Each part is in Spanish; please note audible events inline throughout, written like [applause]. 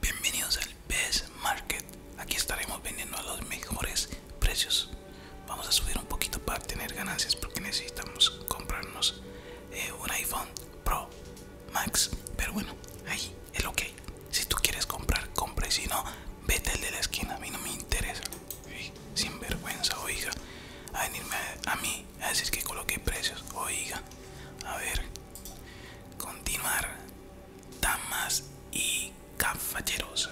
Bienvenidos al Best Market. Aquí estaremos vendiendo a los mejores precios. Vamos a subir un poquito para tener ganancias porque necesitamos comprarnos eh, un iPhone Pro Max. Pero bueno, ahí es lo que hay. Si tú quieres comprar, compra. Y si no, vete el de la esquina. A mí no me interesa. Sin vergüenza, oiga. A venirme a, a mí a decir que coloqué precios. Oiga. A ver. Continuar damas y caballeros,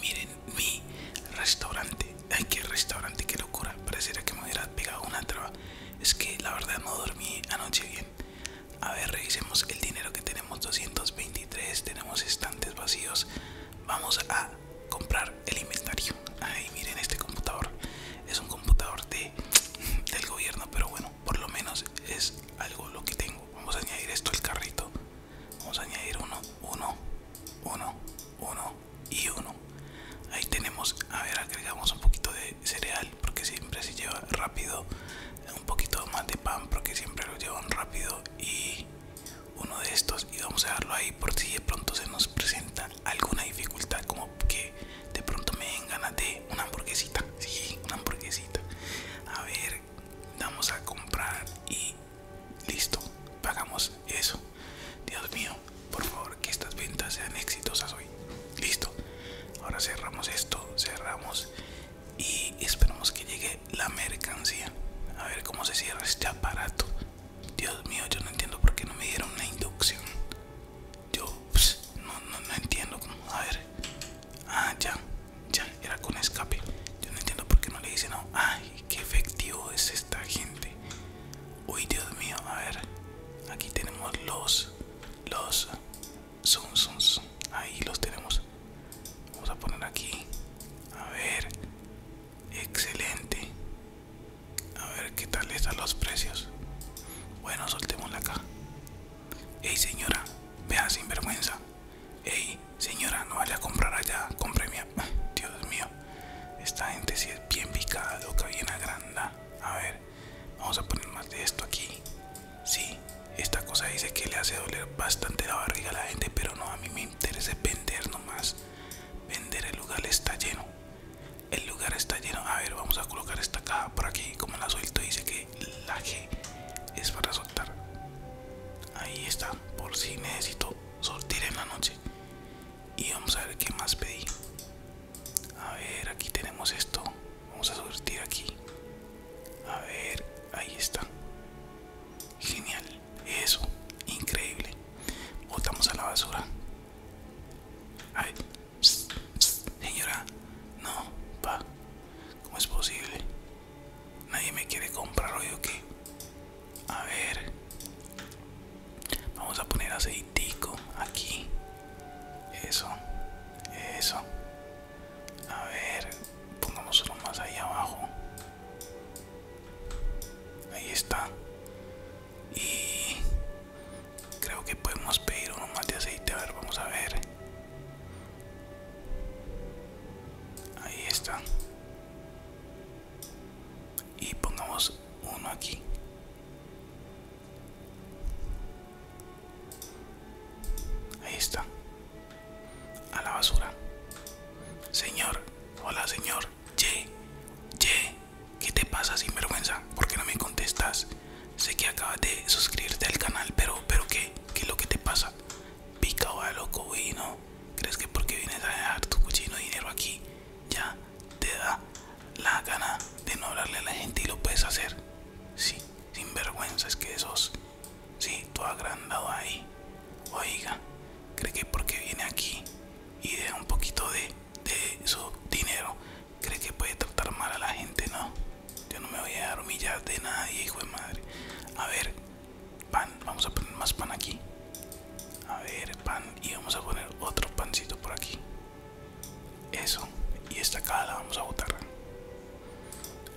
miren mi restaurante. Ay, qué restaurante, qué locura. Pareciera que me hubiera pegado una traba. Es que la verdad no dormí anoche bien. A ver, revisemos el dinero que tenemos: 223. Tenemos estantes vacíos. Vamos a comprar el inventario. Ay, miren este computador. Es un computador de, del gobierno, pero bueno, por lo menos es algo lo que tengo vamos a añadir esto al carrito vamos a añadir uno uno uno uno y uno ahí tenemos a ver agregamos un poquito de cereal porque siempre se lleva rápido un poquito más de pan porque siempre lo llevan rápido y uno de estos y vamos a dejarlo ahí por si de pronto se nos presenta alguna dificultad como que de pronto me den ganas de una hamburguesita. Sí, una hamburguesita. A ver, vamos a comprar y listo, pagamos eso. Dios mío, por favor, que estas ventas sean exitosas hoy. Listo. Ahora cerramos esto, cerramos y esperamos que llegue la mercancía. A ver cómo se cierra este aparato. Dios mío, yo no entiendo por qué no me dieron una inducción. Yo pues, no, no, entiendo cómo. A ver. Ah, ya. Ya. Era con escape. Yo no entiendo por qué no le dice no. Ay, qué efectivo es esta gente. Uy, Dios mío. A ver. Aquí tenemos los. Los. son Ahí los tenemos. Vamos a poner aquí. A ver. Excelente. A ver qué tal están los precios. Bueno, la acá. Ey señora, vea sin vergüenza. Ey señora, no vaya a comprar allá, mía, [sighs] Dios mío, esta gente si es bien picada, loca, bien agranda. A ver, vamos a poner más de esto aquí. Sí, esta cosa dice que le hace doler bastante la barriga a la gente, pero no, a mí me interesa vender nomás. Vender el lugar está lleno. El lugar está lleno. A ver, vamos a colocar esta caja por aquí. Como la suelto, dice que la G es para soltar. Ahí está. Por si necesito sortir en la noche. Y vamos a ver qué más pedí. A ver, aquí tenemos esto. Vamos a sortir aquí. A ver, ahí está. Genial. Eso. Increíble. Botamos a la basura. A señora, no, pa, ¿cómo es posible? Nadie me quiere comprar hoy o qué. A ver, vamos a poner aceitico aquí. Eso, eso. A ver, pongamos uno más ahí abajo. Ahí está. Y Creo que podemos pedir uno más de aceite. A ver, vamos a ver. Ahí está. Y pongamos uno aquí. Ahí está. A la basura. Señor. Hola, señor. Ye. Ye. ¿Qué te pasa, sinvergüenza? ¿Por qué no me contestas? Sé que acabas de suscribirte al canal, pero, pero ¿qué? lo que te pasa? Pica o loco, ¿Crees que porque vienes a dejar tu cochino dinero aquí, ya te da la gana de no hablarle a la gente y lo puedes hacer? Sí, sin vergüenza, es que esos, sí, todo agrandado ahí. Oiga, ¿cree que porque viene aquí y deja un poquito de, de su dinero, cree que puede tratar mal a la gente, no. Yo no me voy a dar humillar de nadie, hijo de madre. A ver, pan, vamos a poner más pan aquí. A ver, pan, y vamos a poner otro pancito por aquí. Eso, y esta cara la vamos a botar.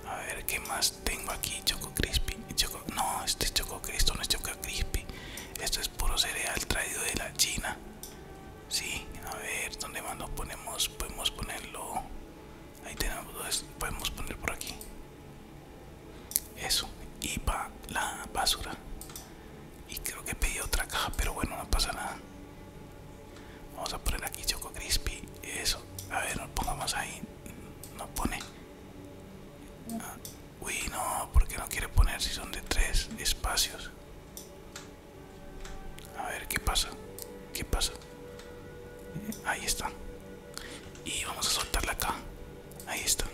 A ver, ¿qué más tengo aquí? Choco Crispy. Choco, no, este Choco Cristo, no es Choco Crispy. Esto es puro cereal traído de la China si, a ver, ¿dónde más nos ponemos? Podemos ponerlo. Ahí tenemos dos. Podemos poner por aquí. Eso. Y para la basura. Y creo que pedí otra caja, pero bueno, no pasa nada. Vamos a poner aquí Choco Crispy. Eso. A ver, nos pongamos ahí. No pone. Ah, uy, no, porque no quiere poner si son de tres espacios. A ver, ¿qué pasa? ¿Qué pasa? Ahí está. Y vamos a soltarla acá. Ahí está.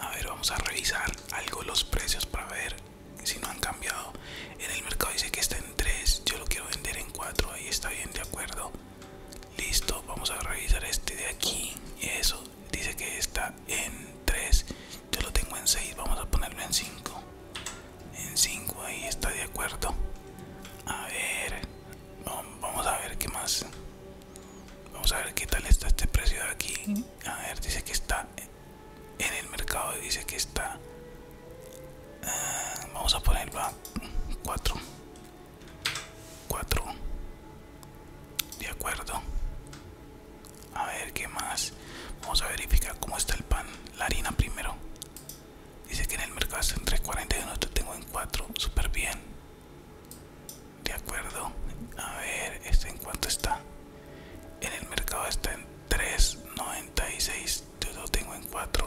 A ver, vamos a revisar algo los precios para ver si no han cambiado. En el mercado dice que está en 3. Yo lo quiero vender en 4. Ahí está bien, de acuerdo. Listo, vamos a revisar este de aquí. Eso, dice que está en 3 yo lo tengo en 6 vamos a ponerlo en 5 en 5 ahí está de acuerdo a ver vamos a ver qué más vamos a ver qué tal está este precio de aquí a ver dice que está en el mercado y dice que está eh, vamos a ponerlo 4 4 de acuerdo a ver, ¿qué más? Vamos a verificar cómo está el pan. La harina primero. Dice que en el mercado está en 3.41, lo tengo en 4. Súper bien. De acuerdo. A ver, ¿este en cuánto está? En el mercado está en 3.96, yo lo tengo en 4.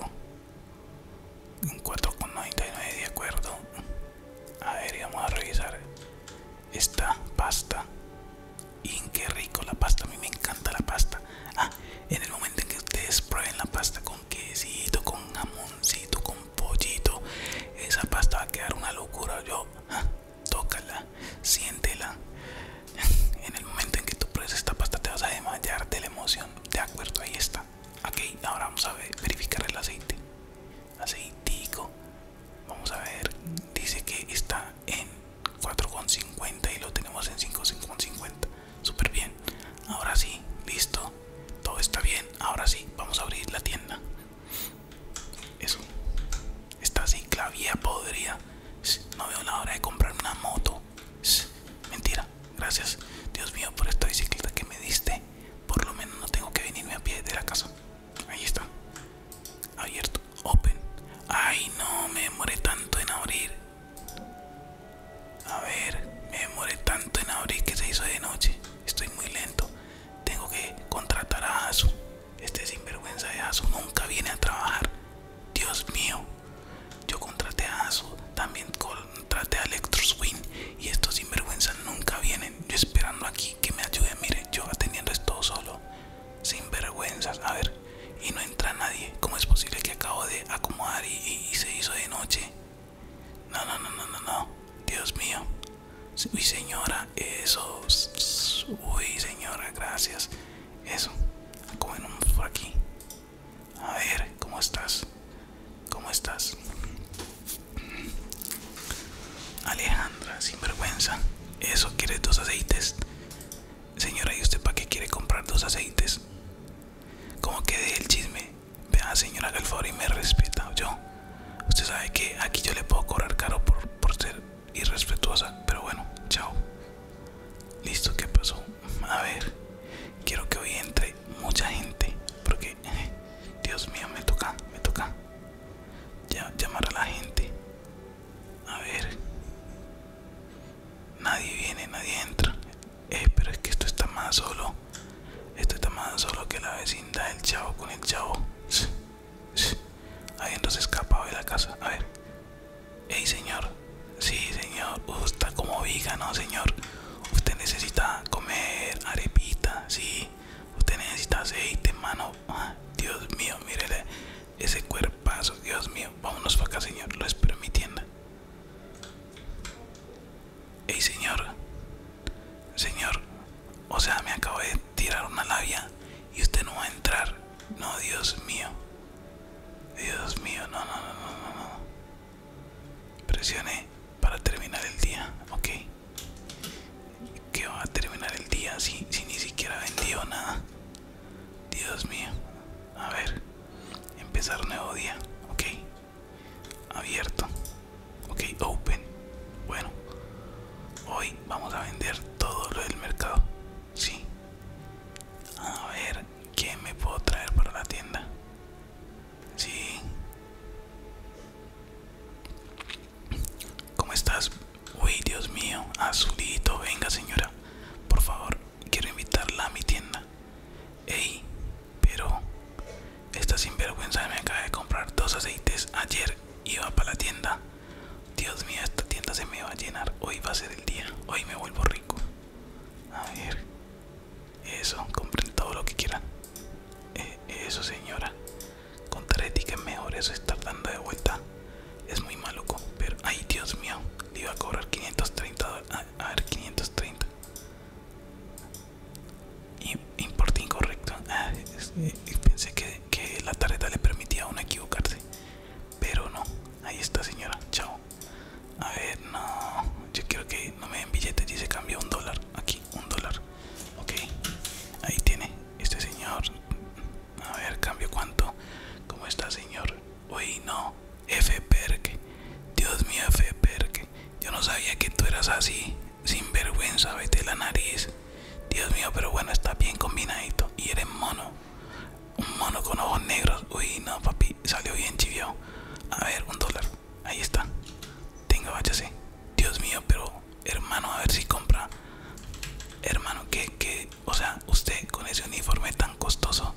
En 4.99, de acuerdo. A ver, y vamos a revisar esta pasta y qué rico la pasta, a mí me encanta la pasta. Ah, en el momento en que ustedes prueben la pasta con quesito, con jamoncito, con pollito, esa pasta va a quedar una locura. Yo, tocala, ah, tócala, siéntela. [laughs] En el momento en que tú pruebes esta pasta te vas a desmayar de la emoción. De acuerdo, ahí está. Ok, ahora vamos a ver, verificar el aceite. Aceitico. Vamos a ver, dice que está en 4,50 y lo tenemos en 5,50. Súper bien. Ahora sí, listo. Todo está bien. Ahora sí, vamos a abrir la tienda. Eso. Está así, clavía podría. No veo la hora de comprar una moto. Mentira. Gracias, Dios mío, por esta bicicleta que me diste. Por lo menos no tengo que venirme a pie de la casa. Ahí está. Abierto. Open. Ay, no, me demoré tanto en abrir. A ver, me demoré tanto en abrir que se hizo de noche. Estoy muy lento. Tengo que contratar a Asu. Este sinvergüenza de Asu nunca viene a trabajar. Dios mío. Yo contraté a Asu. También contraté a Electroswin. Y estos sinvergüenzas nunca vienen. Yo esperando aquí que me ayude. Mire, yo atendiendo esto solo. Sin Sinvergüenzas, a ver, y no entra nadie. ¿Cómo es posible que acabo de acomodar y, se hizo de noche? No, no, no, no, no, no. Dios mío. Uy, señora, eso. Uy, señora, gracias. Eso. como por aquí. A ver, ¿cómo estás? ¿Cómo estás? Alejandra, sinvergüenza. Eso, ¿quieres dos aceites? Señora, ¿y usted para qué quiere comprar dos aceites? como que de el chisme? Vea, señora, haga y me respeta. Yo, usted sabe que aquí yo le puedo cobrar caro por, ser irrespetuosa, pero bueno, chao. Listo, ¿qué pasó? A ver, quiero que hoy entre mucha gente, porque, [laughs] Dios mío, me toca, me toca. Ya llamar a la gente. A ver. Nadie viene, nadie entra. Eh, pero es que esto está más solo. Esto está más solo que la vecindad del chavo con el chavo. Habiéndose entonces escapado de la casa. A ver. Ey, señor. Sí, señor. Usted está como viga, ¿no, señor? Usted necesita comer arepita. Sí. Usted necesita aceite, mano. Ah, Dios mío, mírele. Ese cuerpazo, Dios mío. Vámonos para acá, señor. Lo espero en mi tienda. Ey, señor. Señor. O sea, me acabo de tirar una labia y usted no va a entrar. No, Dios mío. Dios mío, no, no, no, no, no. no. Presione para terminar el día, ok que va a terminar el día si, ni siquiera vendió nada. Dios mío. A ver. Empezar nuevo día. Ok. Abierto. Ok, open. Bueno. Hoy vamos a vender todo lo del mercado. Sí. A ver, ¿qué me puedo traer para la tienda? Sí. ¿Cómo estás? Uy, Dios mío, azulito, venga señora. Por favor, quiero invitarla a mi tienda. Ey, pero esta sinvergüenza me acaba de comprar dos aceites ayer. Iba para la tienda. Dios mío, esta tienda se me va a llenar. Hoy va a ser el día. Hoy me vuelvo rico. A ver. Eso, compren todo lo que quieran. Eh, eso, señora con Contaré mejor eso estar dando de vuelta. Es muy maluco, pero... ¡Ay, Dios mío! iba a cobrar 530 a, ver, 530. Importe incorrecto. Ah, eh, eh, pensé que, la tarjeta le permitía a uno equivocarse. Pero no. Ahí está, señora. Chao. A ver, no. Yo quiero que no me den billetes y se cambia un dólar. Aquí, un dólar. Ok. Ahí tiene. Este señor. A ver, cambio cuánto. ¿Cómo está, señor? Uy, no. F. Dios mío, F. Yo no sabía que tú eras así. Sin vergüenza, vete la nariz. Dios mío, pero bueno, está bien combinadito. Y eres mono. Un mono con ojos negros. Uy, no, papi. Salió bien chivio. A ver, un dólar. Ahí está. Tenga, váyase. Dios mío, pero hermano, a ver si compra. Hermano, que, que, o sea, usted con ese uniforme tan costoso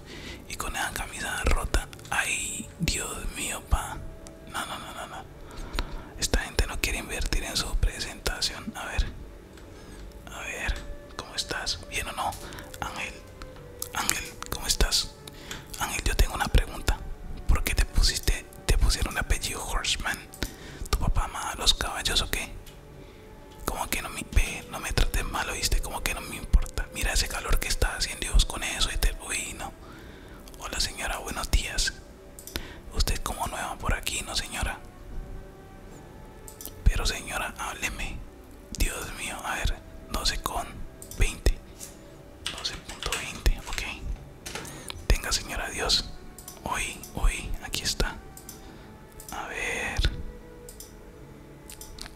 y con esa camisa rota, ay, Dios mío, pa. No, no, no, no, no. Esta gente no quiere invertir en su presentación. A ver, a ver, ¿cómo estás? ¿Bien o no? Ángel, Ángel, ¿cómo estás? Ángel, yo tengo una pregunta. ¿Por qué te pusiste, te pusieron el apellido Horseman? ¿Tu papá amaba los caballos o qué? Como que no me ve, no me trates mal, oíste, como que no me importa. Mira ese calor que está haciendo Dios con eso y te uy, Hola señora, buenos días. Usted como nueva por aquí, no señora. Pero señora, hábleme. Dios mío, a ver, 12 con 20. 12.20, ok. Tenga señora, Dios. Hoy, hoy, aquí está. A ver.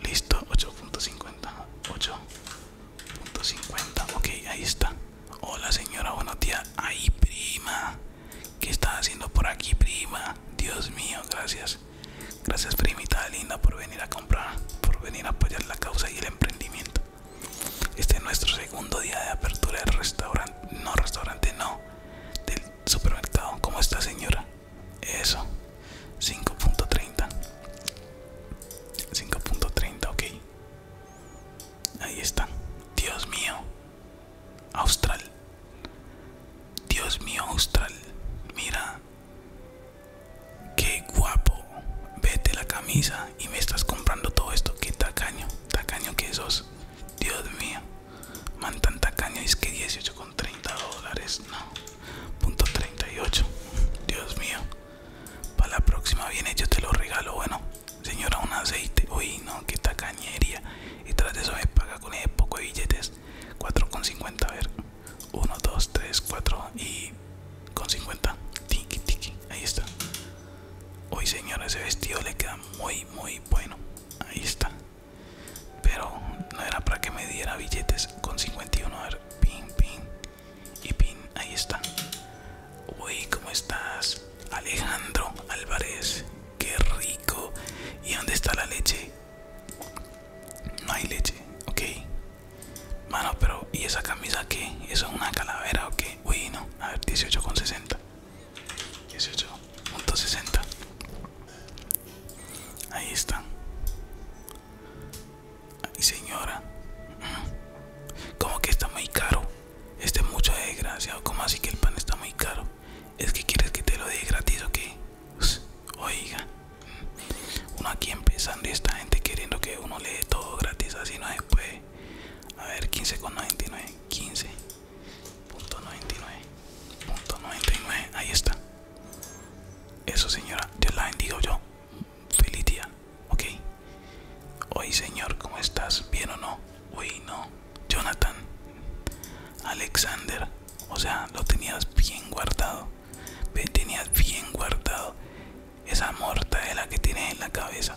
Listo, 8.50. 8.50. Ok, ahí está. Hola señora, buenos días. Ahí prima. ¿Qué estás haciendo por aquí, prima? Dios mío, gracias. Gracias, primita linda, por venir a comprar, por venir a apoyar la causa y el emprendimiento. Este es nuestro segundo día de apertura del restaurante. No, restaurante, no del supermercado. como esta señora? Eso. 5.30. 5.30, ok. Ahí está. Dios mío. Austral. Dios mío, Austral. Mira. Qué guapo. Vete la camisa y me estás comprando todo esto. que tacaño. Tacaño que sos. Dios mío. Man, tanta caña es que 18 con 30 dólares. No, punto 38. Dios mío. Para la próxima viene, yo te lo regalo. Bueno, señora, un aceite. Uy, no, qué tacañería. Y tras de eso me paga con ese poco de billetes. 4,50. A ver, 1, 2, 3, 4 y con 50. Tiki, tiki. Ahí está. Hoy, señora, ese vestido le queda muy, muy bueno. Ahí está. Pero no era para que me diera billetes con 51. A ver, pin, pin y pin. Ahí está. Uy, ¿cómo estás? Alejandro Álvarez. Qué rico. ¿Y dónde está la leche? No hay leche. Ok. bueno, pero ¿y esa camisa qué? ¿Eso es una calavera o qué? Uy, no. A ver, 18,60. 18.60 Ahí está. Ay, señora. Mm. Como que está muy caro. Este es mucho desgraciado. como así que el pan está muy caro? ¿Es que quieres que te lo dé gratis o qué? Oiga. Mm. Uno aquí empezando y esta gente queriendo que uno le dé todo gratis. Así no después. A ver, 15,99. 15. Punto Punto Ahí está. Eso señora, yo la bendigo yo. soy Ok. Hoy señor, ¿cómo estás? ¿Bien o no? Uy, no. Jonathan. Alexander. O sea, lo tenías bien guardado. Tenías bien guardado esa la que tienes en la cabeza.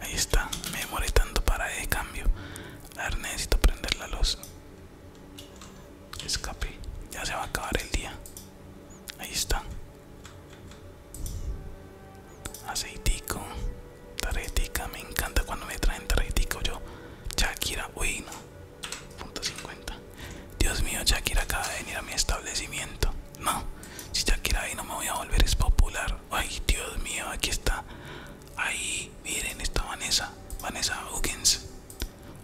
Ahí está, me demoré tanto para de cambio. A ver, necesito prender la luz. Escape, ya se va a acabar el día. Ahí está. Aceitico, tarjetica, me encanta cuando me traen tarjetico yo. Shakira, uy no. .50 Dios mío, Shakira acaba de venir a mi establecimiento. No, si Shakira ahí no me voy a volver, es popular. Ay, Dios mío, aquí está. Ahí, miren, está Vanessa. Vanessa Huggins.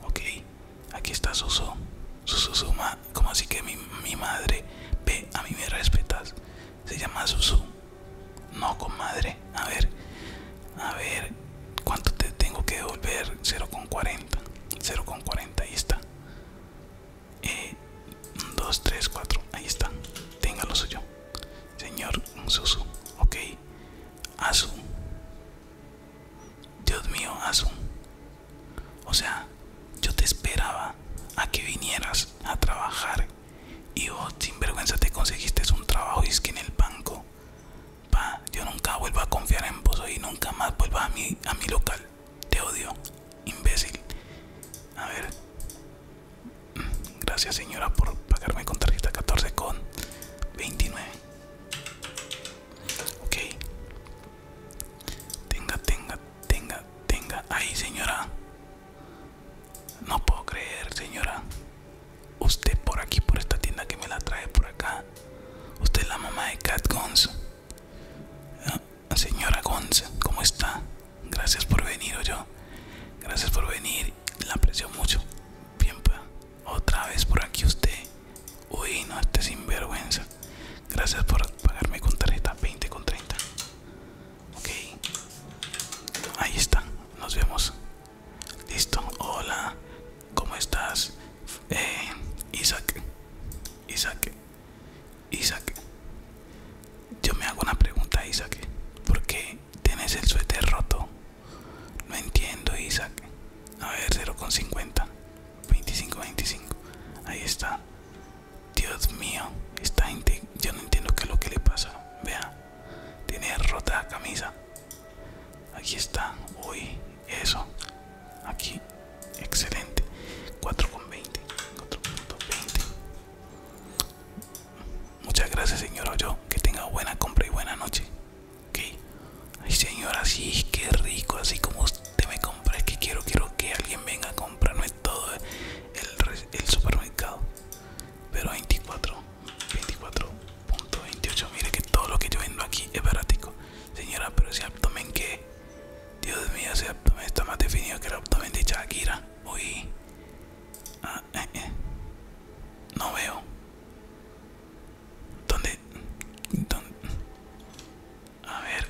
Ok, aquí está Susu Susu Suma, como así que mi, mi madre. Ve, a mí me respetas. Se llama Susu. No, comadre. A ver, a ver. ¿Cuánto te tengo que devolver? 0,40. 0,40, ahí está. 2, 3, 4, ahí está. Tenga lo suyo. Señor Susu, ok. Asu. Dios mío, Asu. O sea, yo te esperaba a que vinieras a trabajar y vos, sin vergüenza te conseguiste un trabajo y es que en el banco pa, yo nunca vuelvo a confiar en vos y nunca más vuelva a mi, a mi local. Te odio, imbécil. A ver. Gracias señora por pagarme con tarjeta 14 con 29. Ok. Tenga, tenga, tenga, tenga. Ahí señora. No puedo creer señora. Usted por aquí, por esta tienda que me la trae por acá. Usted es la mamá de Cat Gons. Ah, señora Gonz ¿cómo está? Gracias por venir, o yo. Gracias por venir. La aprecio mucho. Bien, Otra vez por aquí usted. Uy, no este sinvergüenza. Gracias por pagarme con tarjeta 20 con 30. Ok. Ahí está. Nos vemos. Listo. Hola. ¿Cómo estás? Eh, Isaac, Isaac, Isaac. Yo me hago una pregunta, Isaac. ¿Por qué tienes el suéter roto? No entiendo, Isaac. A ver, 0,50. 25, 25. Ahí está. Dios mío, está. yo no entiendo qué es lo que le pasa. Vea, tiene rota la camisa. Aquí está. Uy, eso. Aquí. Excelente. 4,20. 4.20. Muchas gracias, señor Yo. Que tenga buena compra y buena noche. Ok. Ay, señora, sí, que rico. Así como usted me compra. Es que quiero, quiero que alguien venga a comprarme todo el, el supermercado. Pero 24. 24. Punto 28. Mire que todo lo que yo vendo aquí es barático Señora, pero ese abdomen que. Dios mío, ese abdomen está más definido que el abdomen de Shakira. Uy. Ah, eh. eh. No veo. ¿Dónde? ¿Dónde? A ver.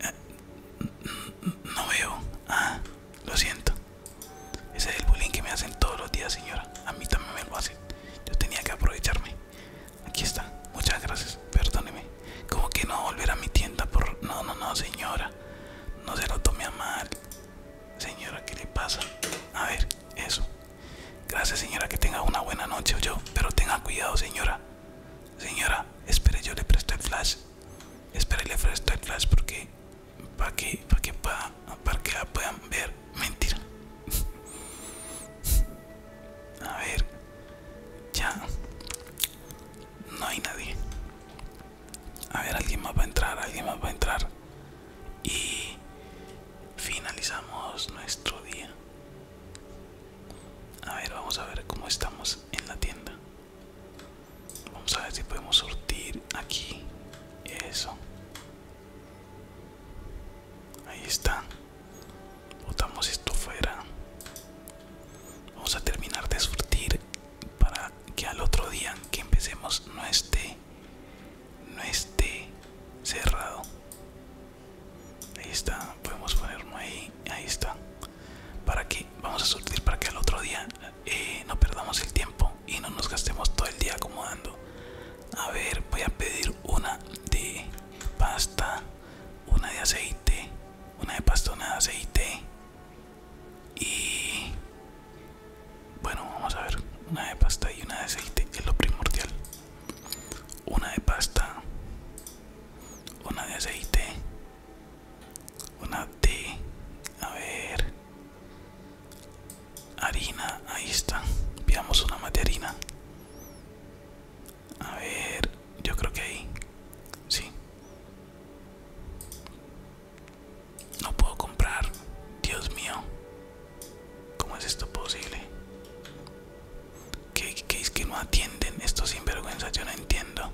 Eh, no veo. Ah, lo siento. Ese es el bullying que me hacen todos los días, señora. A mí también me lo hacen. Yo tenía que aprovecharme. Aquí está. Muchas gracias. Perdóneme. Como que no volver a mi tienda por... No, no, no, señora. No se lo tome a mal. Señora, ¿qué le pasa? A ver, eso. Gracias, señora. Que tenga una buena noche, yo. Pero tenga cuidado, señora. Señora, espere, yo le presto el flash. Espere, le presto el flash porque para que, para que, para que la puedan ver. Mentira. [laughs] A ver, ya no hay nadie. A ver, alguien más va a entrar, alguien más va a entrar. Y finalizamos nuestro día. A ver, vamos a ver cómo estamos en la tienda. Vamos a ver si podemos sortir aquí. Eso. Ahí está. Botamos esto fuera. Vamos a terminar de surtir para que al otro día que empecemos no esté no esté cerrado. Ahí está, podemos ponerlo ahí, ahí está. Para que vamos a surtir para que al otro día eh, no perdamos el tiempo y no nos gastemos todo el día acomodando. A ver, voy a pedir una de pasta, una de aceite, una de pasta, una de aceite y bueno, vamos a ver, una de pasta y una de aceite es lo primordial. Una de pasta, una de aceite, una de, a ver, Harina, ahí está. Veamos una más A ver, yo creo que ahí. Sí. No puedo comprar. Dios mío. ¿Cómo es esto posible? ¿Qué, es que no atienden? Esto sinvergüenza, yo no entiendo.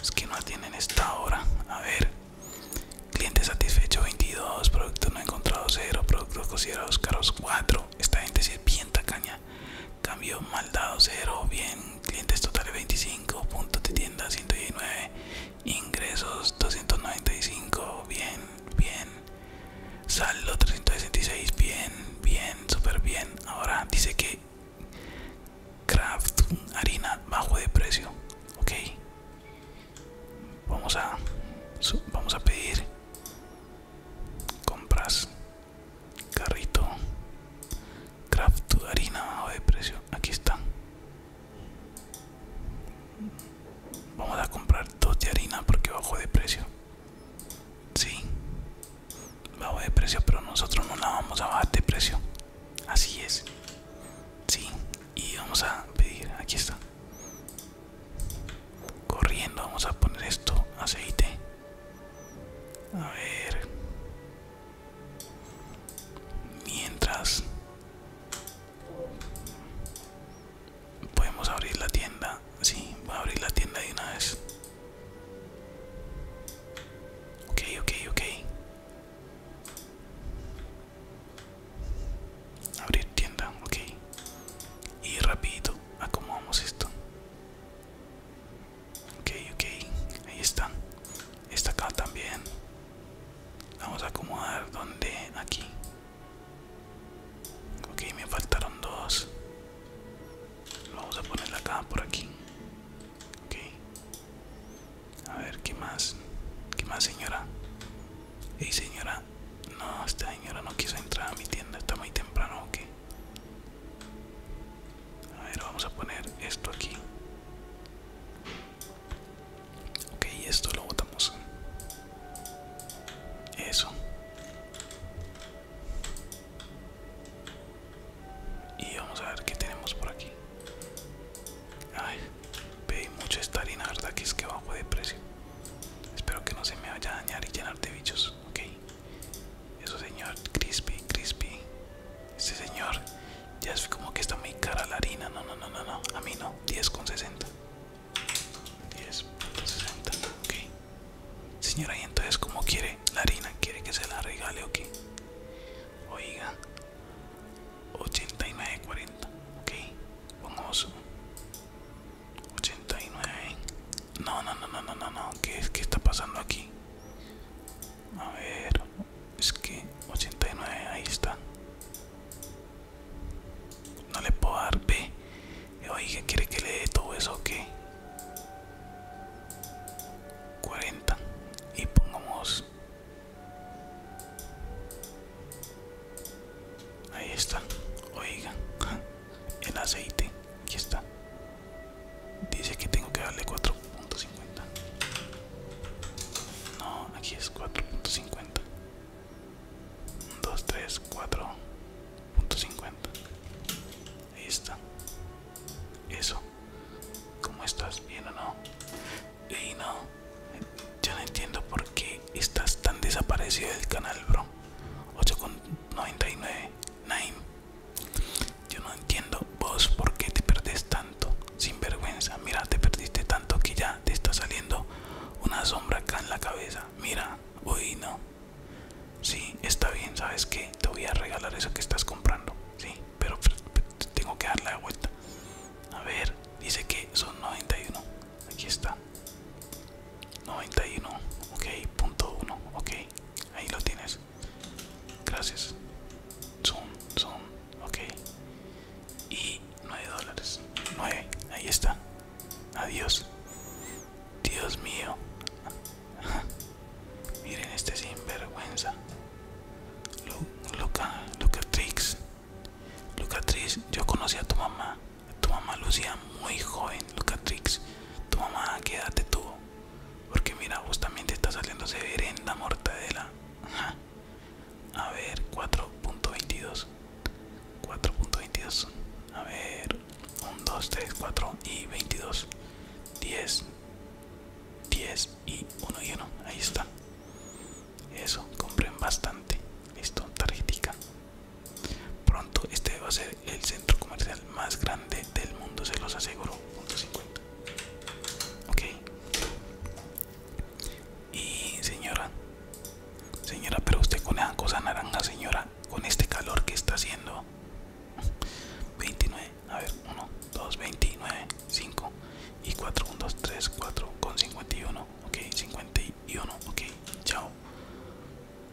Es que no atienden esta hora. A ver. Cliente satisfecho 22, producto no encontrado 0, productos considerados caros 4. Esta gente es bien tacaña. Cambio mal dado 0, bien. Clientes totales 25, puntos de tienda 119, ingresos 295, bien, bien. Saldo 366, bien, bien, súper bien. Ahora dice que Craft harina bajo de precio, ok. Vamos a, vamos a pedir compras, carrito, craft, harina bajo de precio. Aquí está. Vamos a comprar dos de harina porque bajo de precio. si bajo de precio, pero nosotros no la vamos a bajar de precio. Así es. Sí. Y vamos a pedir. Aquí está. Corriendo. Vamos a poner esto. Aceite. A ver. Mientras podemos abrir la tienda. Sí, voy a abrir la tienda de una vez. Ok, ok, ok. Abrir tienda, ok. Y rápido acomodamos esto. Ok, ok. Ahí está. Esta acá también. Vamos a acomodar donde aquí. Ok, me faltaron dos. Vamos a ponerla acá por aquí. Ok. A ver, ¿qué más? ¿Qué más, señora? Hey, señora. No, esta señora no quiso entrar a mi tienda. Está muy temprano, ¿ok? A ver, vamos a poner esto aquí. Ok, esto lo botamos. Eso. Y vamos a ver qué tenemos por aquí. Ay, Pedí mucho esta harina, verdad que es que bajo de precio. Espero que no se me vaya a dañar y llenar de bichos, ok. Eso señor, crispy, crispy. Este señor ya es como que está muy cara la harina. No, no, no, no, no. A mí no. con 10,60. Ok. señor ¿y entonces cómo quiere la harina? ¿Quiere que se la regale o qué? Oiga. 89, 40, ok vamos 89 no no no no no no no ¿Qué, que está pasando aquí a ver es que 89 ahí está no le puedo dar B oiga quiere que le dé todo eso o qué 40 y pongamos Ahí está. Oigan, el aceite. Aquí está. Dice que tengo que darle 4.50. No, aquí es 4.50. 2, 3, 4.50. Ahí está. Eso. ¿Cómo estás? ¿Bien o no? Y no, yo no entiendo por qué estás tan desaparecido del canal, bro. 8,99. Yo no entiendo vos por qué te perdés tanto. Sin vergüenza. Mira, te perdiste tanto que ya te está saliendo una sombra acá en la cabeza. Mira, hoy no. Sí, está bien, ¿sabes qué? Te voy a regalar eso que estás comprando. Sí, pero, tengo que darle la vuelta. A ver, Dice que son 91. Aquí está. 91. Ok, punto 1. Ok, ahí lo tienes. Gracias. son, Ok. Y 9 dólares. 9. Ahí está. Adiós. Dios mío. [laughs] Miren este sinvergüenza. loca Tricks. Lucatrix, yo conocí a tu mamá. Tu mamá lucía muy joven, Lucatrix. Tu mamá, quédate tú, Porque mira, justamente está saliendo la mortadela. A ver, 4.22. 4.22. A ver, 1, 2, 3, 4 y 22. 10. 10 y uno lleno. Ahí está. Eso, compren bastante. Listo, tarjetica. Pronto este va a ser el centro comercial más grande del mundo, se los aseguro. Punto 50. Ok. Y señora, señora, pero usted con esa cosa naranja, señora, con este calor que está haciendo. 29, a ver, 1, 2, 29. 5 y 4 1 2 3 4 con 51 ok 51 ok chao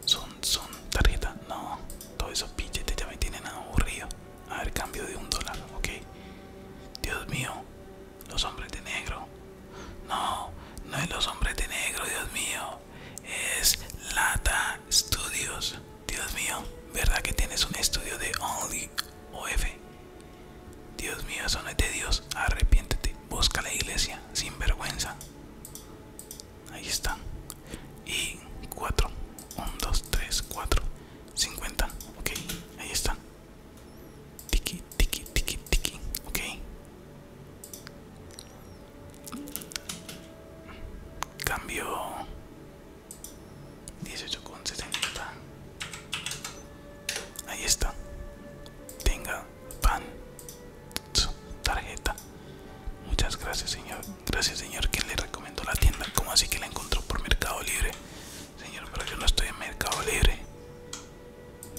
son son tarjeta no todos esos billetes ya me tienen aburrido a ver cambio de un dólar ok dios mío los hombres de negro no no es los hombres de negro dios mío es lata studios dios mío verdad que tienes un estudio de only of Dios mío, eso Dios. Arrepiéntete. Busca la iglesia. Sin vergüenza. Ahí están. Y 4. 1, 2, 3, 4. 50. Ok. Ahí están. Tiki, tiki, tiki, tiki. Ok. Cambio. 18,70. Ahí está. Tenga pan. Su tarjeta. Muchas gracias, señor. Gracias, señor, que le recomendó la tienda. ¿Cómo así que la encontró por Mercado Libre? Señor, pero yo no estoy en Mercado Libre.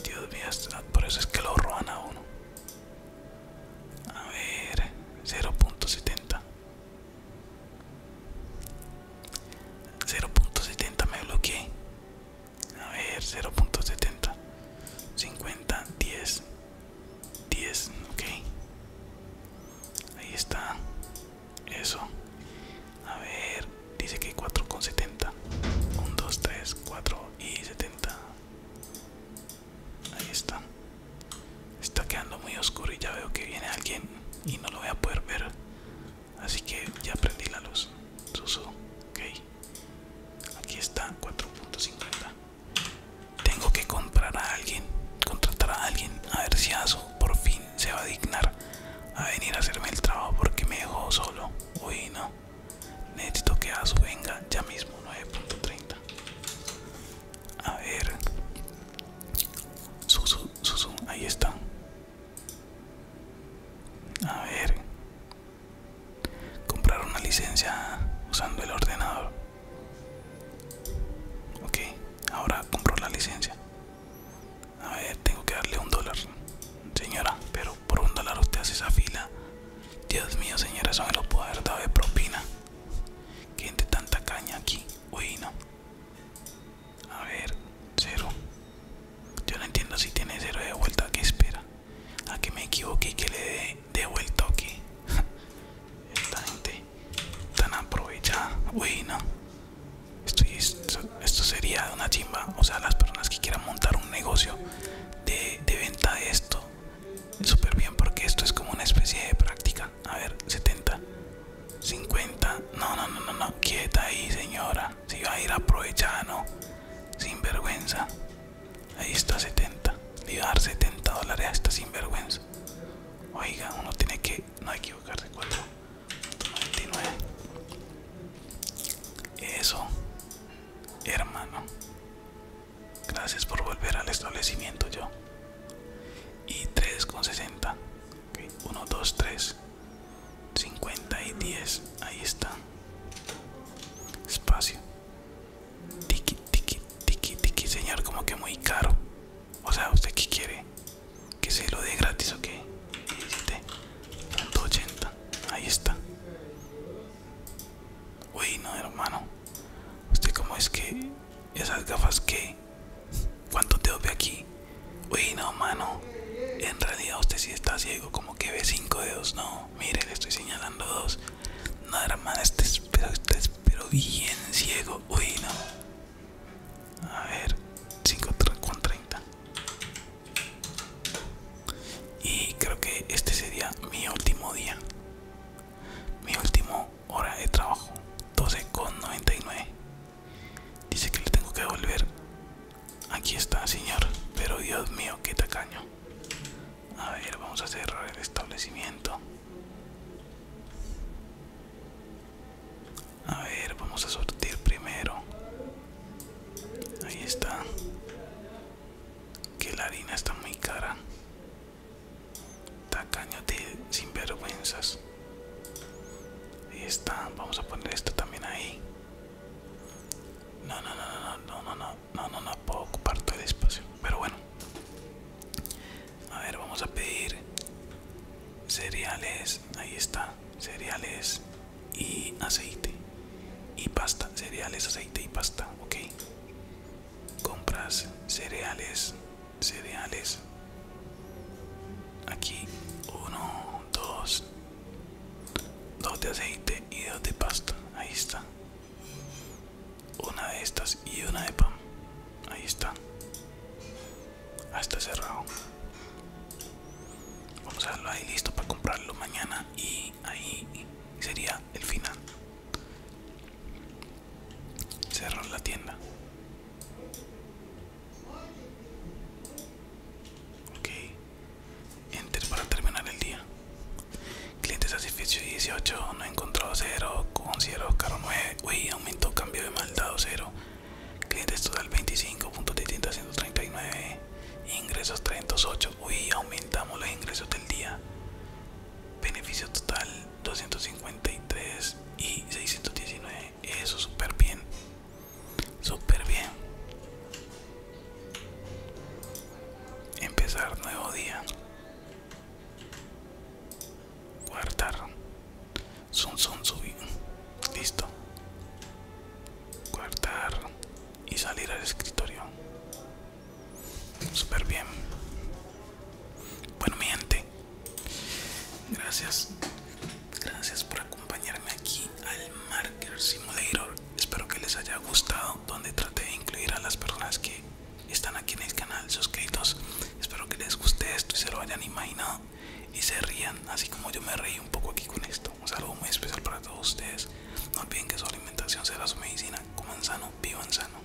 Dios mío, ah, por eso es que lo roban a uno. A ver, 0.70. 0.70 me bloqueé a ver 0.70 50 10 10 ok ahí está eso a ver dice que 4.70 1 2 3 4 y 70 ahí está está quedando muy oscuro y ya veo que viene alguien y no lo voy a poder ver Así que ya prendí la luz. susu, ok. Aquí está, 4.50. Tengo que comprar a alguien, contratar a alguien, a ver si asu por fin se va a dignar a venir a hacerme el trabajo porque me dejó solo. Uy, no. Necesito que asu venga ya mismo, 9.30. A ver. Susu, Susu, ahí está. A ver. Comprar una licencia usando el ordenador. Ok, ahora compro la licencia. A ver, tengo que darle un dólar. Señora, pero por un dólar usted hace esa fila. Dios mío, señora, eso me lo puedo haber de propina. Gente tanta caña aquí. Uy, no. A ver, cero. Yo no entiendo si tiene cero de vuelta. que espera? ¿A que me equivoque y que le dé de, vuelta o [laughs] Esta gente tan aprovechada. Uy, no. Esto, sería una chimba. O sea, las personas que quieran montar un negocio de, de venta de esto, súper bien, porque esto es como una especie de práctica. A ver, 70. 50 no no no no no quieta ahí señora si va a ir aprovechando sin vergüenza ahí está 70 le iba a dar 70 dólares a esta sinvergüenza oiga uno tiene que no equivocarse 499 eso hermano gracias por volver al establecimiento yo y 3,60 1, 2, 3, 50 y 10. Ahí está. Espacio. Tiki, tiki, tiki, tiki, señor. Como que muy caro. O sea, ¿usted que quiere? Que se lo dé gratis, qué? 180. Ahí está. Uy, no, hermano. Usted, como es que esas gafas que ¿cuánto te ve aquí? Uy, no, mano. En realidad usted sí está ciego, como que ve cinco dedos. No, mire, le estoy señalando dos. nada más, este, este pero, bien ciego. Uy, no. A ver, 5 con 30. Y creo que este sería mi último día. Mi último hora de trabajo. 12 con 99. Dice que le tengo que devolver. Aquí está, señor. Pero Dios mío, qué tacaño. A ver, vamos a cerrar el establecimiento. A ver, vamos a sortir primero. Ahí está. Que la harina está muy cara. Tacaño de sinvergüenzas. Ahí está, vamos a poner esto también ahí. No, no, no, no, no, no, no, no, no, no puedo ocupar todo el espacio. Pero bueno. A ver, vamos a pedir cereales. Ahí está. Cereales y aceite. Y pasta. Cereales, aceite y pasta. Ok. Compras cereales cereales aquí uno dos dos de aceite y dos de pasta ahí está una de estas y una de pan ahí está ah, está cerrado vamos a darlo ahí listo para comprarlo mañana y ahí sería el final cerrar la tienda Ok, enter para terminar el día. Cliente satisfecho 18, no he encontrado 0, considero caro 9. Uy, aumentó cambio de dado 0. Clientes total 25, 139, ingresos 308. Uy, aumentamos los ingresos del día. Beneficio total 253 y 619. Eso, súper bien. Súper bien. Empezar nuevo día. Guardar. son sun, subir. Listo. Guardar y salir al escritorio. super bien. Bueno, mi gente. Gracias. Gracias por acompañarme aquí al Marker Simulator. Espero que les haya gustado, donde traté de incluir a las personas que están aquí en el canal suscritos. Espero que les guste esto y se lo hayan imaginado y se rían, así como yo me reí un poco aquí con esto. Un saludo muy especial para todos ustedes. No olviden que su alimentación será su medicina. Coman sano, en sano.